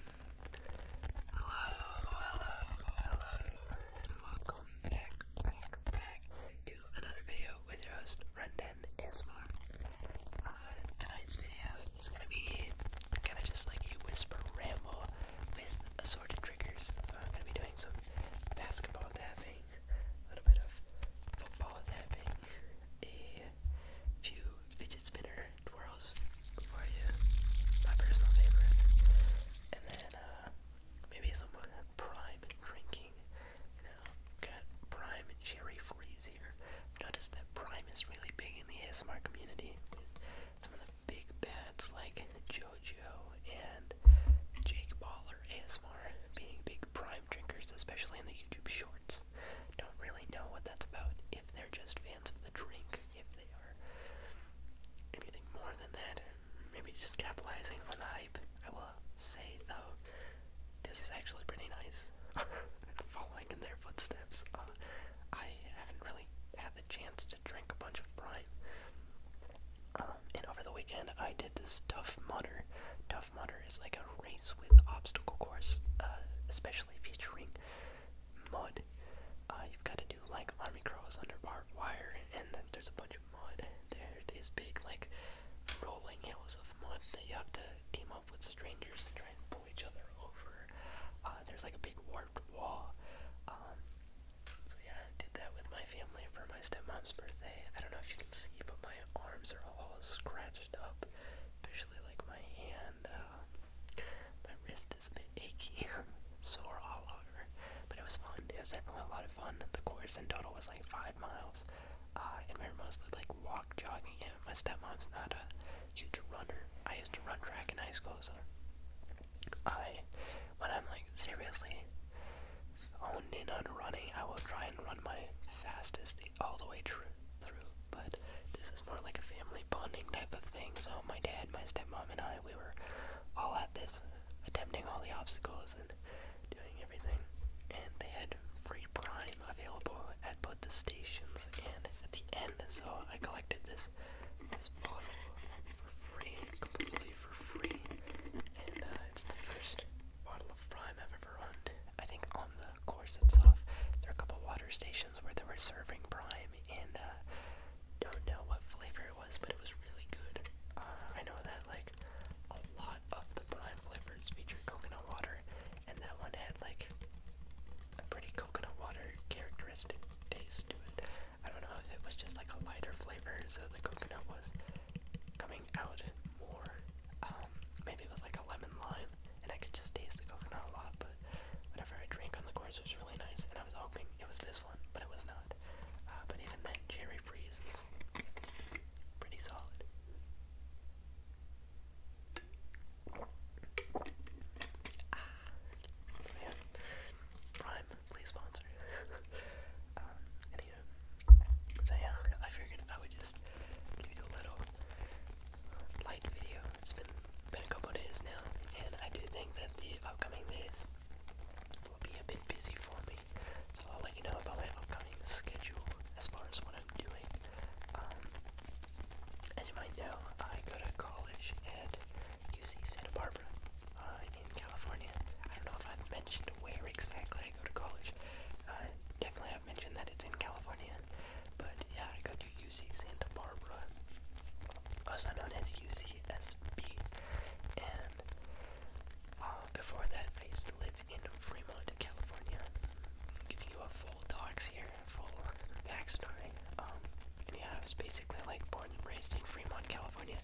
Hello, hello, hello, and welcome back, back, back to another video with your host, Rendon ASMR. tonight's video is gonna be kinda just like a whisper ramble with assorted triggers. I'm gonna be doing some basketball tapping, a little bit of football tapping, a few fidget spinner favorite twirls for you, my personal favorite. And then uh, maybe someone prime drinking. You know, got prime cherry freeze here. Notice that prime is really big in the ASMR community some of the big bats like JoJo and Jake Baller ASMR being big prime drinkers, especially in the YouTube shorts. Don't really know what that's about if they're just fans the drink if they are anything more than that. Maybe just capitalizing on the hype. I will say though, this is actually pretty nice. Following in their footsteps. Uh, I haven't really had the chance to drink a bunch of brine. Um, and over the weekend, I did this Tough Mudder. Tough Mudder is like a race with obstacle course, uh, especially featuring mud. Uh, you've got to do like army crawls under barbed wire, and then there's a bunch of mud. There, these big like rolling hills of mud that you have to team up with strangers and try and pull each other over. Uh, there's like a big warped wall. Um, so yeah, I did that with my family for my stepmom's birthday. I don't know if you can see, but my arms are all scratched up, especially like my hand. Uh, my wrist is a bit achy, sore all over. But it was fun. It was definitely a lot of fun. The course in total was like five miles, uh, and we were mostly like walk jogging. And my stepmom's not a huge runner. I used to run track in high school, so I, when I'm like seriously honed in on running, I will try and run my fastest the, all the way through. Through but this is more like a family bonding type of thing. So my dad, my stepmom, and I, we were all at this, attempting all the obstacles and doing everything. And they had free prime available at both the stations and at the end. So I collected this this bottle for free, completely for free. And uh, it's the first bottle of prime I've ever owned. I think on the course itself, there are a couple water stations situations where they were serving prime and uh don't know what flavor it was, but it was really good. Uh, I know that like a lot of the prime flavors featured coconut water, and that one had like a pretty coconut water characteristic taste to it. I don't know if it was just like a lighter flavor, so the coconut was coming out more. Um, maybe it was like a lemon lime and I could just taste the coconut a lot, but whatever I drank on the course was really nice, and I was hoping it was this one, but it was not. Uh, but even then, Cherry freezes, pretty solid. Ah, Prime, please sponsor. um, anyway, so yeah, I figured I would just give you a little light video it's been been a couple days now, and I do think that the upcoming days will be a bit busy for me. So I'll let you know about my upcoming schedule as far as what I'm doing. Um, as you might know, I go to college at UC Santa Barbara uh, in California. I don't know if I've mentioned where exactly I go to college. I definitely have mentioned that it's in California, again. But yeah, I go to UC Santa Barbara, also known as UCSB. And uh, before that, I used to live in Fremont, California. I'm giving you a full docs here, a full backstory. Um, and yeah, I was basically like born and raised in Fremont, California.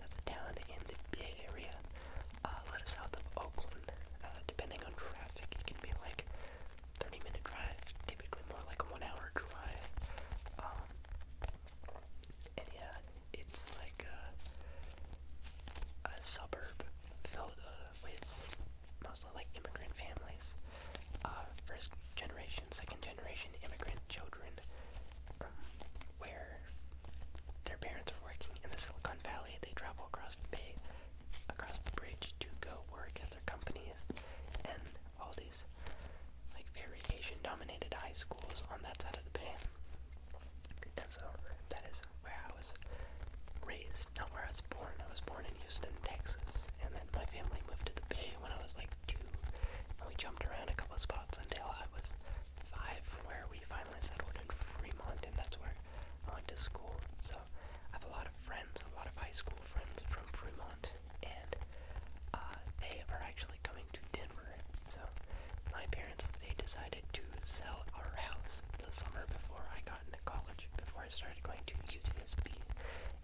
That's a town in the Bay Area, uh, a little south of Oakland. Uh, depending on traffic, it can be like 30 minute drive, typically more like a one hour drive. Um, and yeah, it's like a, suburb filled uh, with mostly like immigrant families, uh, first generation, second generation immigrant children, um, where their parents are working in the Silicon Valley. They travel across the bay, across the bridge to go work at their companies, and all these like very Asian dominated high schools on that side of the bay. And so that is where I was raised, not where I was born. I was born in Houston, Texas, and then my family moved to the bay when I was like two. And we jumped around a couple of spots until I was five, where we finally settled in Fremont, and that's where I went to school. So I have a lot of friends, a lot of high school friends from Fremont, and uh, they are actually coming to Denver. So my parents they decided to sell our house the summer before I got into college, before I started going to UCSB,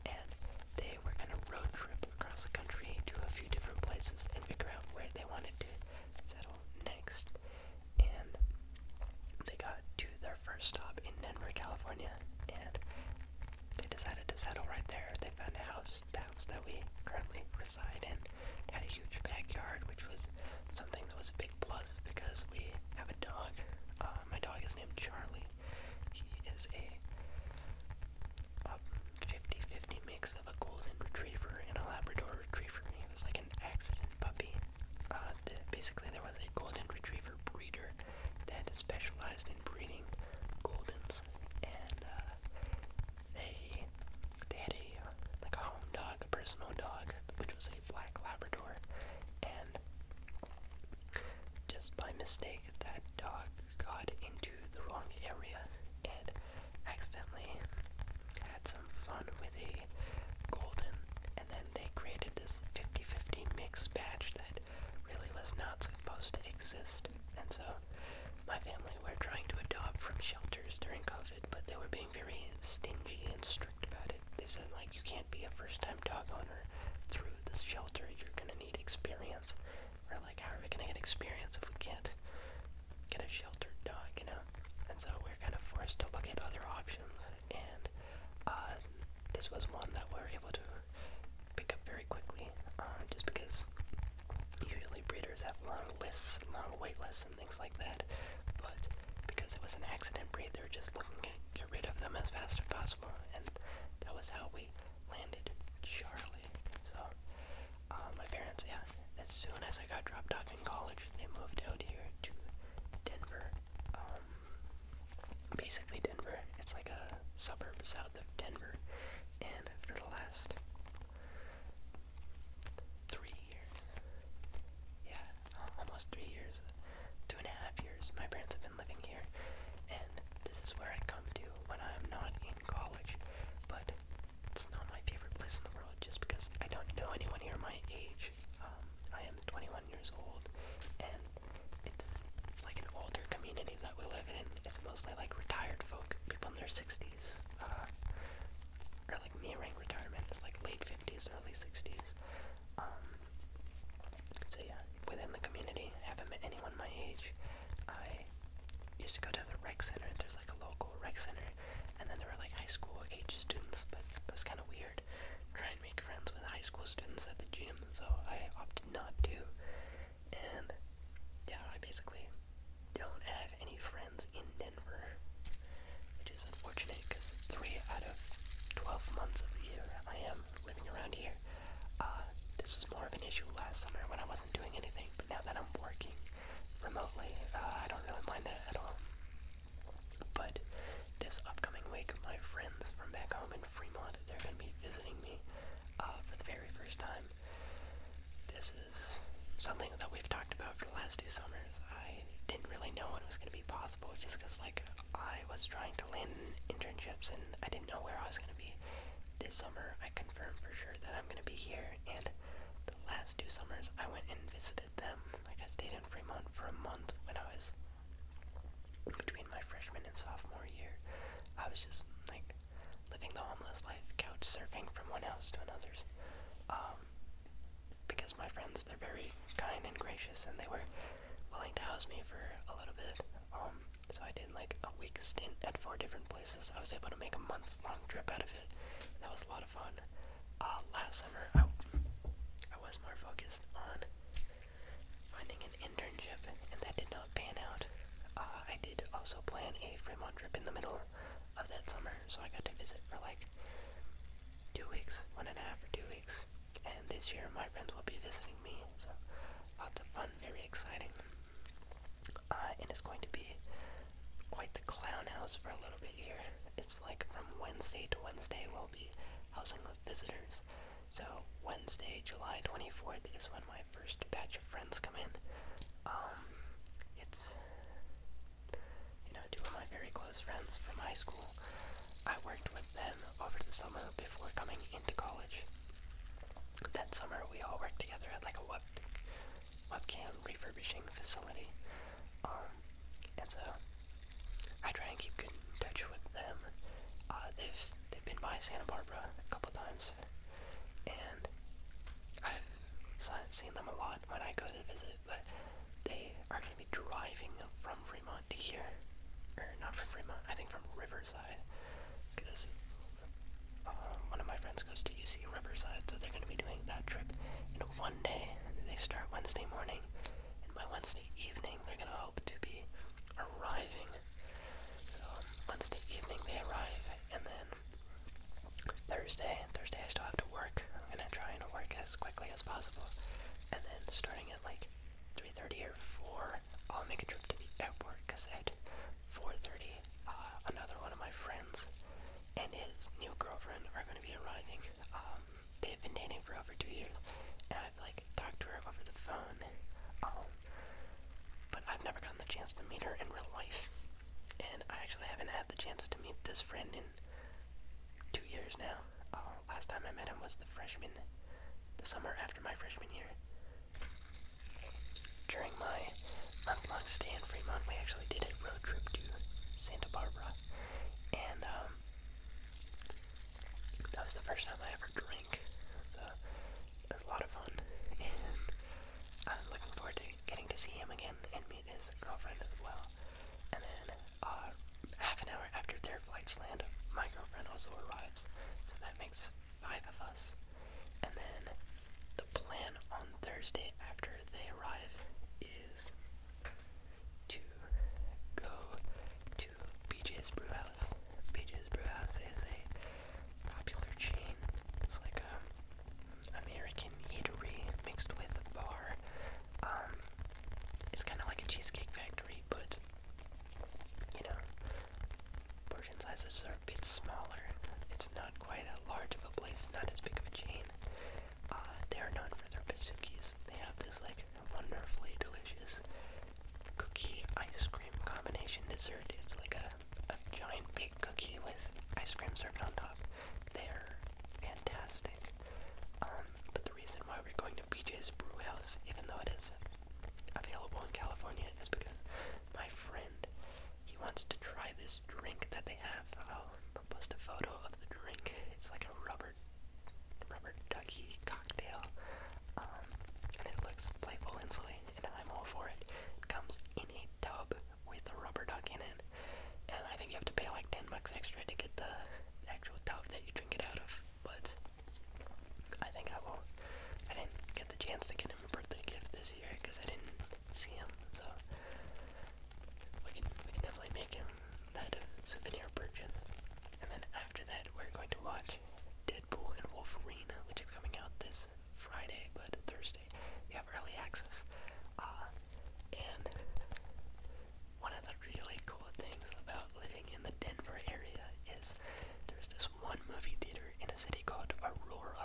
and they were gonna road trip across the country to a few different places and figure out where they wanted to settle next. And they got to the their first stop in Denver, California, and they decided to settle right there. They found a house, the house that we currently reside in. It had a huge backyard, which was something that was a big plus because we have a dog. Uh, my dog is named Charlie. He is a 50-50 um, mix of a golden retriever and a Labrador retriever. He was like an accident puppy. Uh, the, basically, there was a golden retriever clever breeder that specialized in breeding goldens, and uh, they had a like a home dog, a personal dog, which was a black Labrador, and just by mistake that dog got into the wrong area and accidentally had some fun with a golden and then they created this 50-50 mix batch that really was not supposed to exist. And so my family were trying to adopt from shelters during COVID, but they were being very stingy and strict about it. They said, like, you can't be a first time dog owner through this shelter. You're going to need experience. We're like, how are we going to get experience if we can't get a sheltered dog, you know? And so we're kind of forced to look at other options. And uh, this was one that we're able to pick up very quickly, uh, just because usually breeders have long lists, long wait lists, and things like that. But because it was an accident breed, they were just looking to get rid of them as fast as possible, and that was how we landed Charlie. So, uh, my parents, yeah, as soon as I got dropped off in college, they moved out here to Denver. Um, basically Denver. It's like a suburb south of Denver. And for the last three years, yeah, almost three years, two and a half years, my parents have been living here. And this is where I come to when I'm not in college. But it's not my favorite place in the world just because I don't know anyone here my age. Um, I am 21 years old, and it's it's like an older community that we live in. It's mostly like retired folk, people in their 60s, uh, or like nearing retirement. It's like late 50s, early 60s. Um, so yeah, within the community, haven't met anyone my age. I used to go to the rec center. There's like a local rec center, and then there were like high school age students, but it was kind of weird. Trying try and make friends with high school students at the gym, so I opted not to. And yeah, I basically don't have any friends in Denver, which is unfortunate because three out of 12 months of the year I am living around here. Uh, this was more of an issue last summer when I wasn't doing anything, but now that I'm working remotely, uh, I don't really mind that at all. But this upcoming week, my friends from back home in Fremont they're going to be visiting me uh, for the very first time. This is something that we've talked about for the last two summers. I didn't really know when it was going to be possible just because, like, I was trying to land internships and I didn't know where I was going to be. This summer, I confirmed for sure that I'm going to be here, and the last two summers, I went and visited them. Like, I stayed in Fremont for a month when I was between my freshman and sophomore year, I was just like living the homeless life, couch surfing from one house to another's. Um, because my friends, they're very kind and gracious, and they were willing to house me for a little bit. Um, so I did like a week stint at four different places. I was able to make a month-long trip out of it. And that was a lot of fun. Uh, last summer, I, I was more focused on finding an internship, and that did not pan out. Uh, I did also plan a Fremont trip in the middle of that summer, so I got to visit for like two weeks, one and a half or two weeks. And this year, my friends will be visiting me, so lots of fun, very exciting. Uh, and it's going to be quite the clown house for a little bit here. It's like from Wednesday to Wednesday, we'll be housing with visitors. So Wednesday, July 24th is when my first batch of friends come in. Um, it's, you know, two of my very close friends from high school. I worked with them over the summer before coming into college. That summer we all worked together at like a web, webcam refurbishing facility. Um, and so I try and keep in touch with them. Uh, they've they've been by Santa Barbara a couple times, and I've seen them a lot when I go to visit. But they are going to be driving from Fremont to here, or not from Fremont. I think from Riverside, because uh, one of my friends goes to UC Riverside, so they're going to be doing that trip. And one day they start Wednesday morning, and by Wednesday Wednesday evening they're going to hope to be arriving. So Wednesday evening they arrive, and then Thursday, Thursday I still have to work. I'm going to try and work as quickly as possible. And then starting at like 3.30 or 4, I'll make a trip to the airport because at 4.30 uh, another one of my friends and his new girlfriend are going to be arriving. Um, they've been dating for over two years, and I've like talked to her over the phone um, but I've never gotten the chance to meet her in real life. And I actually haven't had the chance to meet this friend in two years now. Uh, last time I met him was the freshman, the summer after my freshman year. During my month long stay in Fremont, we actually did a road trip to Santa Barbara. And um, that was the first time I ever drank. So it was a lot of fun, and I'm looking forward to getting to see him again and meet his girlfriend as well. And then uh, half an hour after their flights land, my girlfriend also arrives, so that makes five of us. And then the plan on Thursday after they arrive is to go to. BJ's Brewhouse. BJ's Brewhouse is a popular chain. It's like a um, American eatery mixed with a bar. Um, it's kind of like a cheesecake factory, but you know, portion sizes are a bit smaller. It's not quite a large of a place, not as big of a chain. Uh, they are known for their bazookies. They have this like wonderfully delicious cookie ice cream combination dessert. It's like a, giant big cookie with ice cream served on top. They're fantastic. Um, but the reason why we're going to BJ's Brew House, even though it is available in California, is because my friend he wants to try this drink that they have. Um, I'll post a photo of the drink. It's like a rubber rubber ducky cocktail. Um, and it looks playful and silly, and I'm all for It comes in a tub with a rubber duck in it, and I think you have to pay like 10 bucks extra to get the actual tub that you drink it out of. But I think I will. I didn't get the chance to get him a birthday gift this year because I didn't see him, so we can, we can definitely make him that souvenir purchase. And then after that, we're going to watch Deadpool and Wolverine, which is coming out this Friday, but Thursday you have early access. Uh, and one of the really cool things about living in the Denver area is there's this one movie theater in a city called Aurora.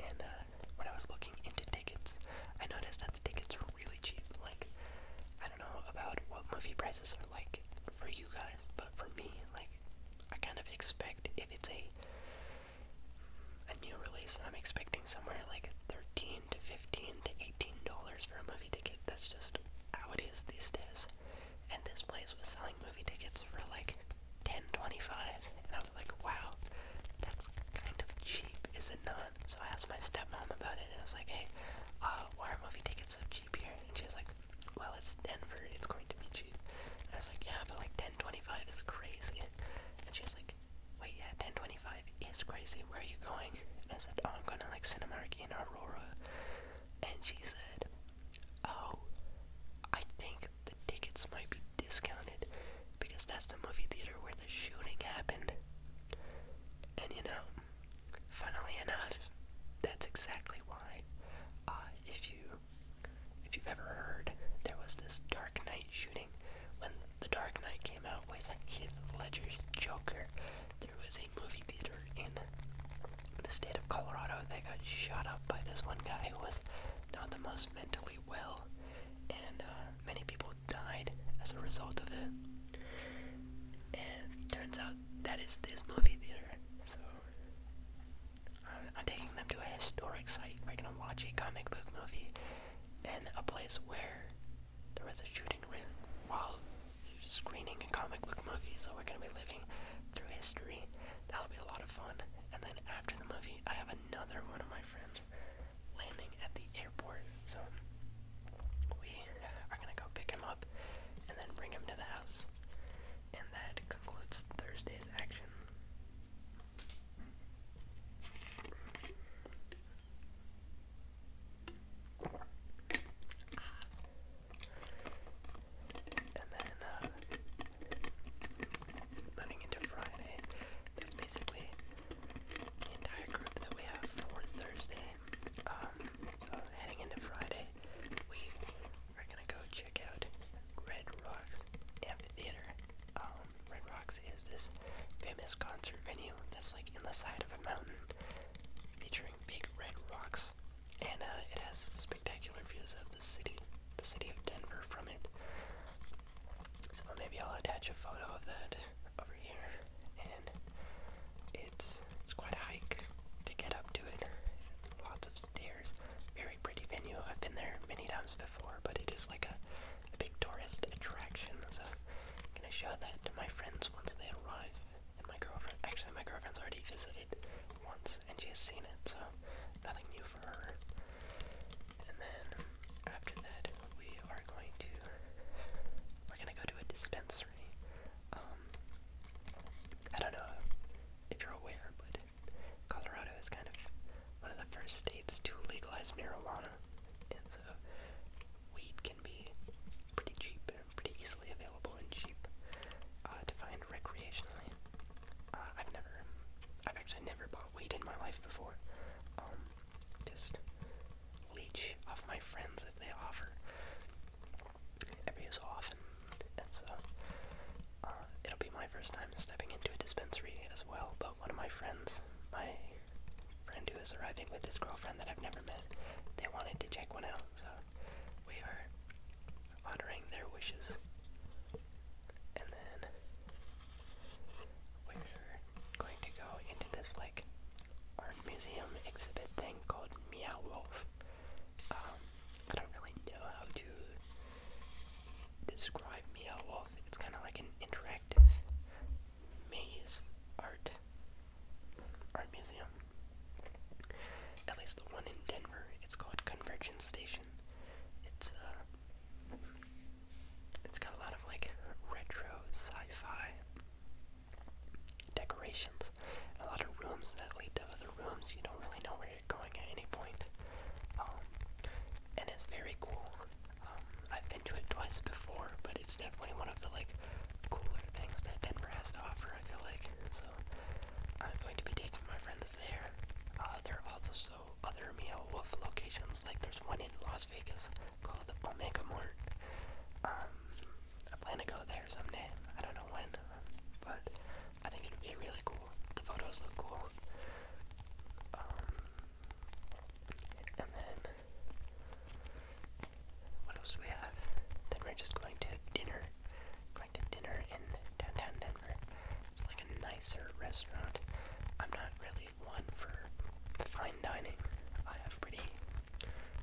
And uh, when I was looking into tickets, I noticed that the tickets were really cheap. Like, I I don't know about what movie prices are like for you guys, but for me, like, I kind of expect if it's a a new release, I'm expecting somewhere like 13 to 15 to 18 dollars for a movie ticket. That's just how it is these days. And this place was selling movie tickets for like 10.25, and I was like, wow, that's kind of cheap, is it not? So I asked my stepmom about it, and I was like, hey, uh, why are movie tickets so cheap here? And she's like, well, it's Denver, it's going to be cheap. And I was like, yeah, but like 1025 is crazy. And she's like, wait, yeah, 1025 is crazy. Where are you going? And I said, oh, I'm going to like Cinemark in Aurora. And she said, oh, I think the tickets might be discounted because that's the movie theater where the shooting happened. And you know, funnily enough, that's exactly why. Uh, if you if you've ever heard, there was this Dark Knight shooting when The Dark Knight came out with Heath Ledger's Joker. There was a movie theater in the state of Colorado that got shot up by this one guy who was not the most mentally well, and uh, many people died as a result of it. And turns out that is this movie theater. So I'm, taking them to a historic site. We're gonna watch a comic book movie in a place where there was a shooting ring while screening a comic book movie. So we're gonna be living through history. That'll be a lot of fun. And then after the movie, I have another one of my friends landing at the airport. So we are going to go pick him up and then bring him to the house. And that concludes Thursday's action. And then, moving uh, into Friday, that's basically the entire group that we have for Thursday. Um, heading into Friday, we are gonna go check out Red Rocks Amphitheater. Um, red Rocks is this famous concert venue that's like in the side of a mountain, featuring big red rocks, and uh, it has spectacular views of the city, the city of Denver, from it. So maybe I'll attach a photo of that here, and it's it's quite a hike to get up to it. Lots of stairs. Very pretty venue. I've been there many times before, but it is like a, big tourist attraction. So I'm gonna show that to my friends once they arrive. And my girlfriend, actually, my girlfriend's already visited once, and she has seen it, so nothing new for her. And then after that, we are going to we're gonna go to a dispensary history. Um, I don't know if you're aware, but Colorado is kind of one of the first states to legalize marijuana, and so weed can be pretty cheap and pretty easily available and cheap uh, to find recreationally. Uh, I've never, I've actually never bought weed in my life before. Um, just leech off my friends if they offer every so often, and so uh, it'll be my first time stepping into a dispensary as well. But one of my friends, my friend who is arriving with his girlfriend that I've never met, they wanted to check one out, so we are honoring their wishes. And then we're going to go into this art museum exhibit thing called Meow Wolf. Um, I don't really know how to describe Meow Wolf. It's kind of like an interactive maze art art museum. At least the one in Denver. It's called Convergence Station. It's uh, it's got a lot of like retro sci-fi decorations, a lot of rooms that lead to other rooms. You don't really know where you're going at any point. Um, and it's very cool. Um, I've been to it twice before, but it's definitely one of the like cooler things that Denver has to offer. I feel like so. I'm going to be taking my friends there. Uh, there are also other Mia Wolf locations. Like there's one in Las Vegas called Omega Mart. Um, I plan to go there someday. I don't know when, but I think it would be really cool. The photos look cool. Um, and then what else we have? Then we're just going to dinner. Going to dinner in downtown Denver. It's like a nicer restaurant. I'm not really one for fine dining. I have pretty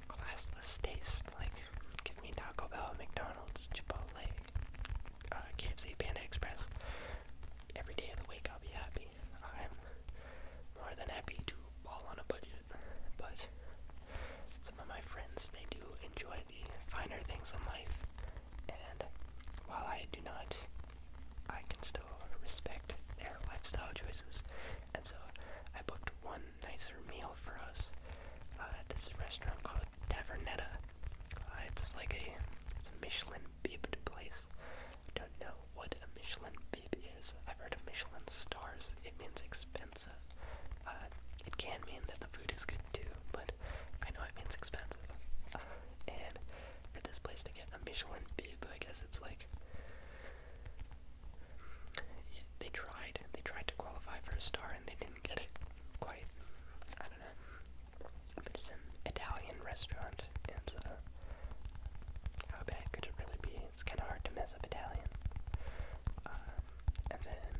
classless taste. Like, give me Taco Bell, McDonald's, Chipotle, uh, KFC, Panda Express. Every day of the week, I'll be happy. I'm more than happy to ball on a budget, but some of my friends, they do enjoy the finer things in life, and while I do not, I can still respect their lifestyle choices, and so I booked one nicer meal for us uh, at this restaurant called Tavernetta. Uh, it's like a it's a Michelin beeped place. I don't know what a Michelin Bib is. I've heard of Michelin stars. It means expensive. Uh, it can mean that the food is good too, but I know it means expensive. and for this place to get a Michelin Bib, I guess it's like they tried. They tried to qualify for a star and they didn't get it quite. I don't know. But it's an Italian restaurant, and so uh, how bad could it really be? It's kind of hard to mess up Italian. Uh, and then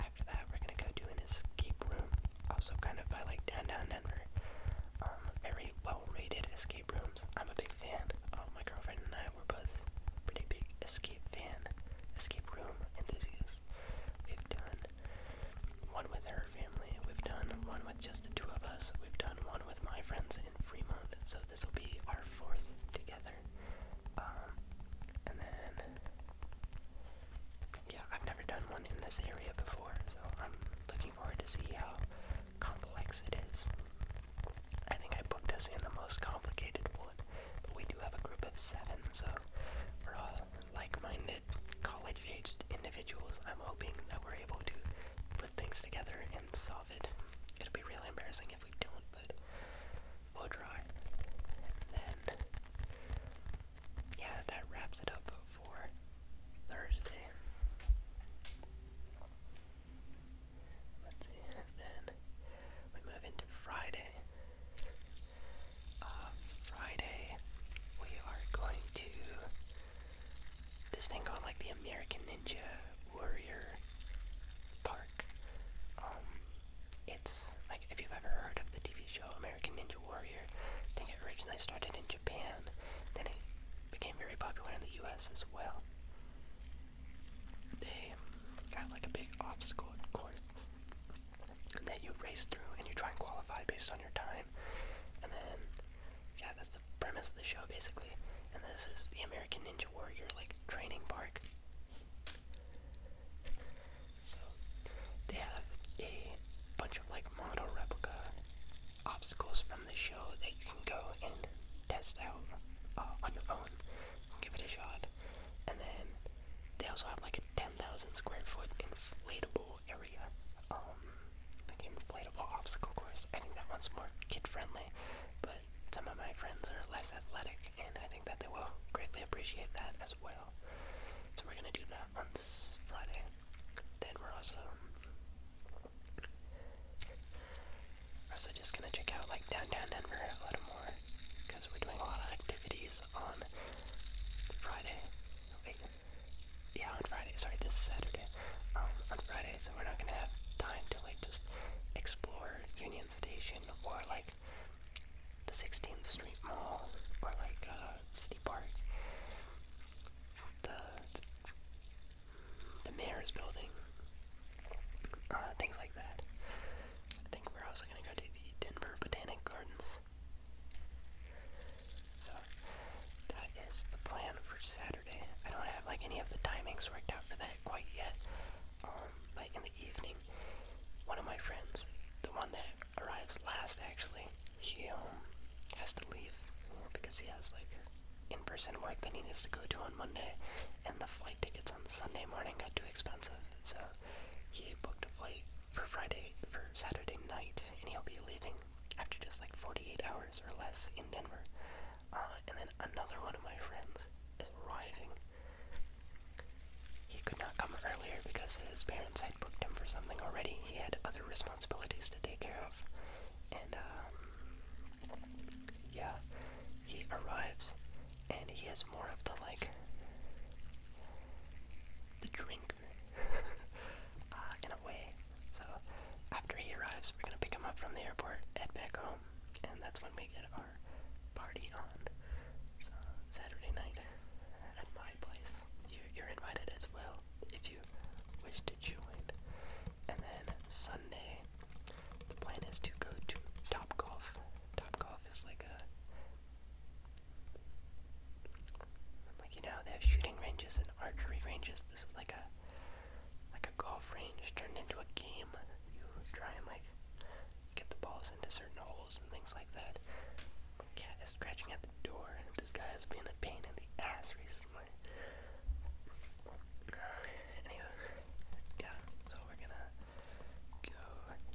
after that, we're gonna go do an escape room, also kind of by like downtown Denver. Um, very well rated escape rooms. I'm a big fan. Oh, my girlfriend and I we're both pretty big escape fan, escape room enthusiasts. We've done one with her family, we've done one with just the two of us, we've done one with my friends in Fremont, so this will be our fourth together. Um, and then, yeah, I've never done one in this area before, so I'm looking forward to see how complex it is. I think I booked us in the most complicated one, but we do have a group of seven, so we're all like-minded college-aged individuals. I'm hoping that we're able to put things together and solve it. It'll be really embarrassing if we don't, but we'll try. And then, yeah, that wraps it up for Thursday. Let's see, then we move into Friday. Uh, Friday, we are going to this thing called like the American Ninja Warrior Park. Um, it's like if you've ever heard of the TV show American Ninja Warrior, I think it originally started in Japan, then it became very popular in the U.S. as well they have like a big obstacle course that you race through and you try and qualify based on your time. And then, yeah, that's the premise of the show basically. And this is the American Ninja Warrior like training park. So they have a bunch of like model replica obstacles from the show that you can go and test out uh, on your own give it a shot. And then they also have like a 10,000 square foot inflatable area, um, like inflatable obstacle course. I think that one's more kid friendly, but some of my friends are less athletic, and I think that they will greatly appreciate that as well. So we're gonna do that on Friday. Then we're also I'm also just gonna check out like downtown Denver a little more because we're doing a lot of activities on Friday. Wait, yeah, on Friday. Sorry, this Saturday. Um, on Friday, so we're not gonna have time to like just explore Union Station or like the 16th Street Mall or like uh, City Park the mayor's building, uh, things like that. I think we're also going to go to the Denver Botanic Gardens. So that is the plan for Saturday. I don't have like any of the timings worked out for that quite yet. Um, in the evening, one of my friends, the one that arrives last actually, he um, has to leave because he has like in-person work that he needs to go to on Monday, and the flight tickets on Sunday morning got too expensive, so he booked a flight for Friday for Saturday night, and he'll be leaving after just like 48 hours or less in Denver. Uh, and then another one of my friends is arriving. He could not come earlier because his parents had booked him for something already. He had other responsibilities to take care of, and um, yeah, he arrives and he is more of the like the drinker uh, in a way. So after he arrives, we're gonna pick him up from the airport, head back home, and that's when we get our party on. Saturday night at my place. you're invited as well if you wish to join. And then Sunday, the plan is to go to Top Golf. Top Golf is like a like you know they have shooting ranges and archery ranges. This is like a like a golf range turned into a game. You try and like get the balls into certain holes and things like that. My cat is scratching at the door. This guy has been a pain in the ass recently. Anyway, yeah, so we're gonna go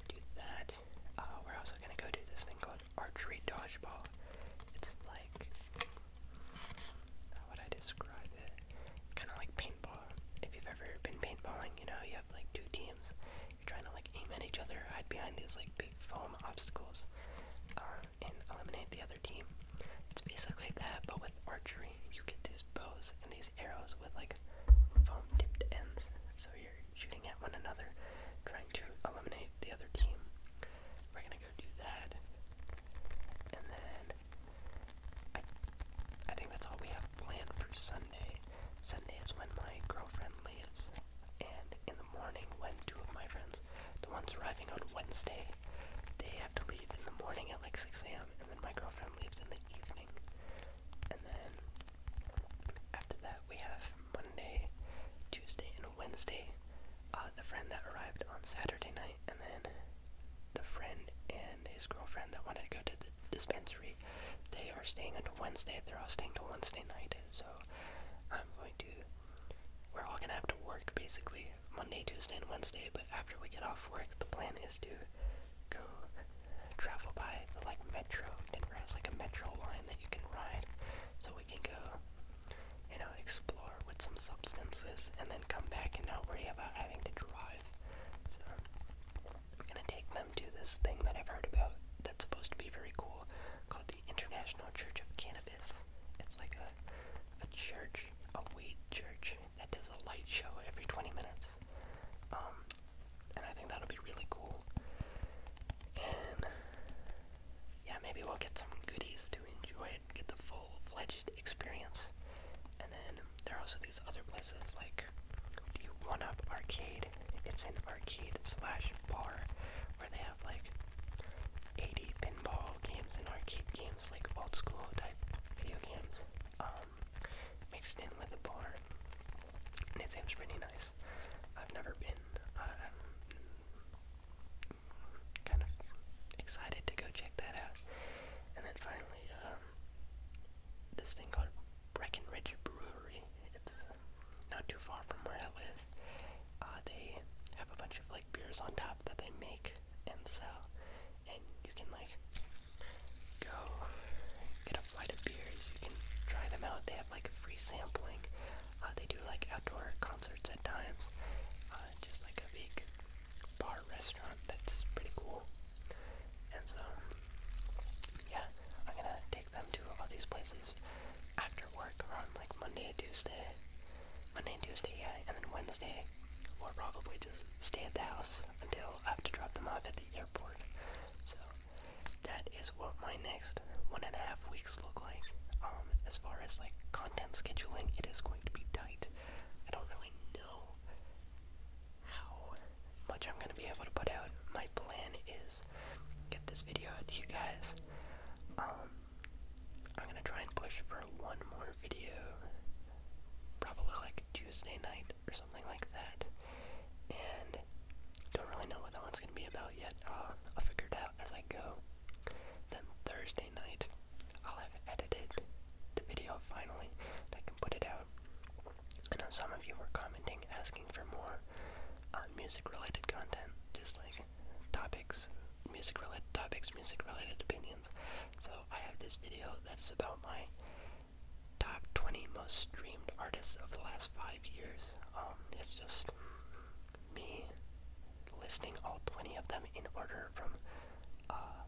do that. Uh, we're also gonna go do this thing called archery dodgeball. It's like, how would I describe it? kind of like paintball. If you've ever been paintballing, you know, you have like two teams. You're trying to like aim at each other, hide behind these like big foam obstacles, uh, and eliminate the other team. It's basically that, but with archery, you get these bows and these arrows with like foam tipped ends. So you're shooting at one another, trying to eliminate the other team. We're gonna go do that. And then I I think that's all we have planned for Sunday. Sunday is when my girlfriend leaves. And in the morning when two of my friends, the ones arriving on Wednesday, they have to leave in the morning at like 6 a.m. and then my girlfriend leaves in the evening. And then after that, we have Monday, Tuesday, and Wednesday. Uh, the friend that arrived on Saturday night, and then the friend and his girlfriend that wanted to go to the dispensary, they are staying until Wednesday. They're all staying till Wednesday night. So I'm going to. We're all gonna have to work basically Monday, Tuesday, and Wednesday, but after we get off work, the plan is to go travel by the like metro. Denver has like a metro line that you can ride, so we can go, you know, explore with some substances and then come back and not worry about having to drive. So I'm gonna take them to this thing that I've heard about that's supposed to be very cool called the International Church of Cannabis. It's like a a church, a weed church, that does a light show every 20 minutes. Um, and I think that'll be really cool. And yeah, maybe we'll get some goodies to enjoy it, get the full fledged experience. And then there are also these other places like the One Up Arcade. It's an arcade slash bar where they have like 80 pinball games and arcade games, like old school type video games um, mixed in with a bar, and it seems pretty nice. I've never been. Uh, kind of excited to go check that out. And then finally, um, this thing called Breckenridge Brewery. It's not too far from where I live. Uh, they have a bunch of like beers on top that they make and sell, and you can like go get a flight of beers. You can try them out. They have like free sampling. Uh, they do like outdoor concerts at times. Uh, just like a big bar restaurant. That's pretty cool. And so, yeah, I'm gonna take them to all these places after work or on like Monday, Tuesday, Monday and Tuesday, yeah, and then Wednesday. We'll probably just stay at the house until I have to drop them off at the airport. So that is what my next one and a half weeks look like. Um, as far as like content scheduling, it is going to be tight. I don't really know how much I'm gonna be able to put out. My plan is get this video to you guys. Um, I'm gonna try and push for one more video, probably like Tuesday night or something like that. And don't really know what that one's gonna be about yet. Uh, I'll figure it out as I go. Then Thursday night, I'll have edited the video finally. And I can put it out. I know some of you were commenting, asking for more uh, music-related content, just like topics, music-related topics, music-related opinions. So I have this video that is about my top 20 most streamed artists of the last five years. Um, it's just me listing all 20 of them in order from uh,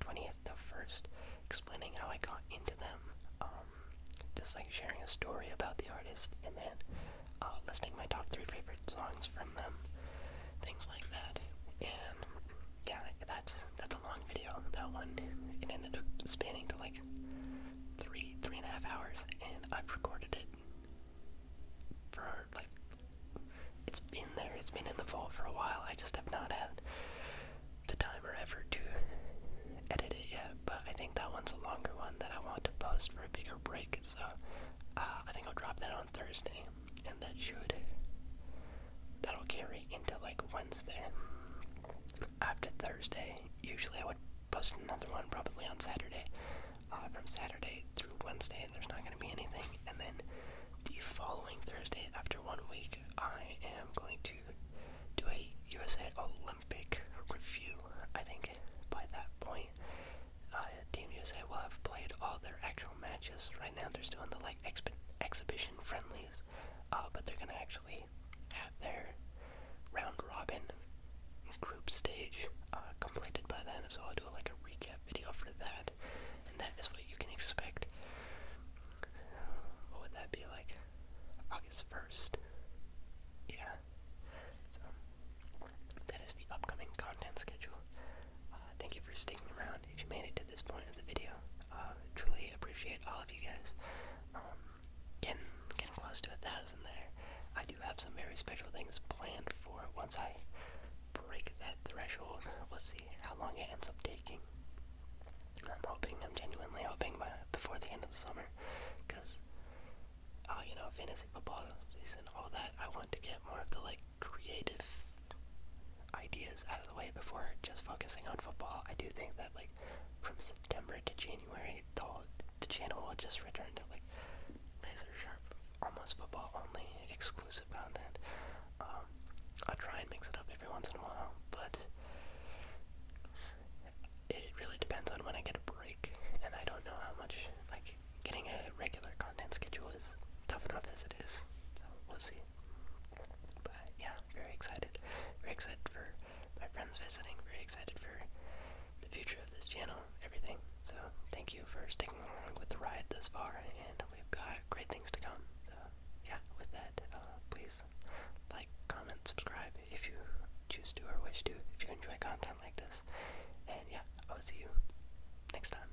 20th to 1st, explaining how I got into them, um, just like sharing a story about the artist, and then uh, listing my top 3 favorite songs from them, things like that. And yeah, that's that's a long video. That one it ended up spanning to like three three and a half hours, and I've recorded it for like it's been there. It's been in the vault for a while. I just have not had the time or effort to edit it yet. But I think that one's a longer one that I want to post for a bigger break. So uh, I think I'll drop that on Thursday, and that should that'll carry into like Wednesday. After Thursday, usually I would post another one probably on Saturday. Uh, from Saturday through Wednesday, there's not going to be anything. And then the following Thursday, after one week, I am going to do a USA Olympic review. I think by that point, uh, Team USA will have played all their actual matches. Right now, they're still in the exhibition friendlies, uh, but they're gonna actually have their round robin group stage uh, completed by then. So I'll do like a recap video for that, and that is what you can expect. What would that be like? August first. Yeah. So that is the upcoming content schedule. Uh, thank you for sticking around. If you made it to this point of the video, uh, truly appreciate all of you guys. Um, getting getting close to a thousand there. I do have some very special things planned for once I break that threshold. We'll see how long it ends up taking. I'm hoping, I'm genuinely hoping, by, before the end of the summer, because, uh, you know, fantasy football season, all that. I want to get more of the like creative ideas out of the way before just focusing on football. I do think that like from September to January, the the channel will just return to like laser sharp, almost football only, exclusive content. Um, I'll try and mix it up every once in a while, but it really depends on when I get a break, and I don't know how much like getting a regular content schedule is tough enough as it is. So we'll see. But yeah, very excited. Very excited for my friends visiting. Very excited for the future of this channel, everything. So thank you for sticking along with the ride this far, and we've got great things to come. So yeah, with that, uh, please like, comment, subscribe if you choose to or wish to, if you enjoy content like this. And yeah, I will see you next time.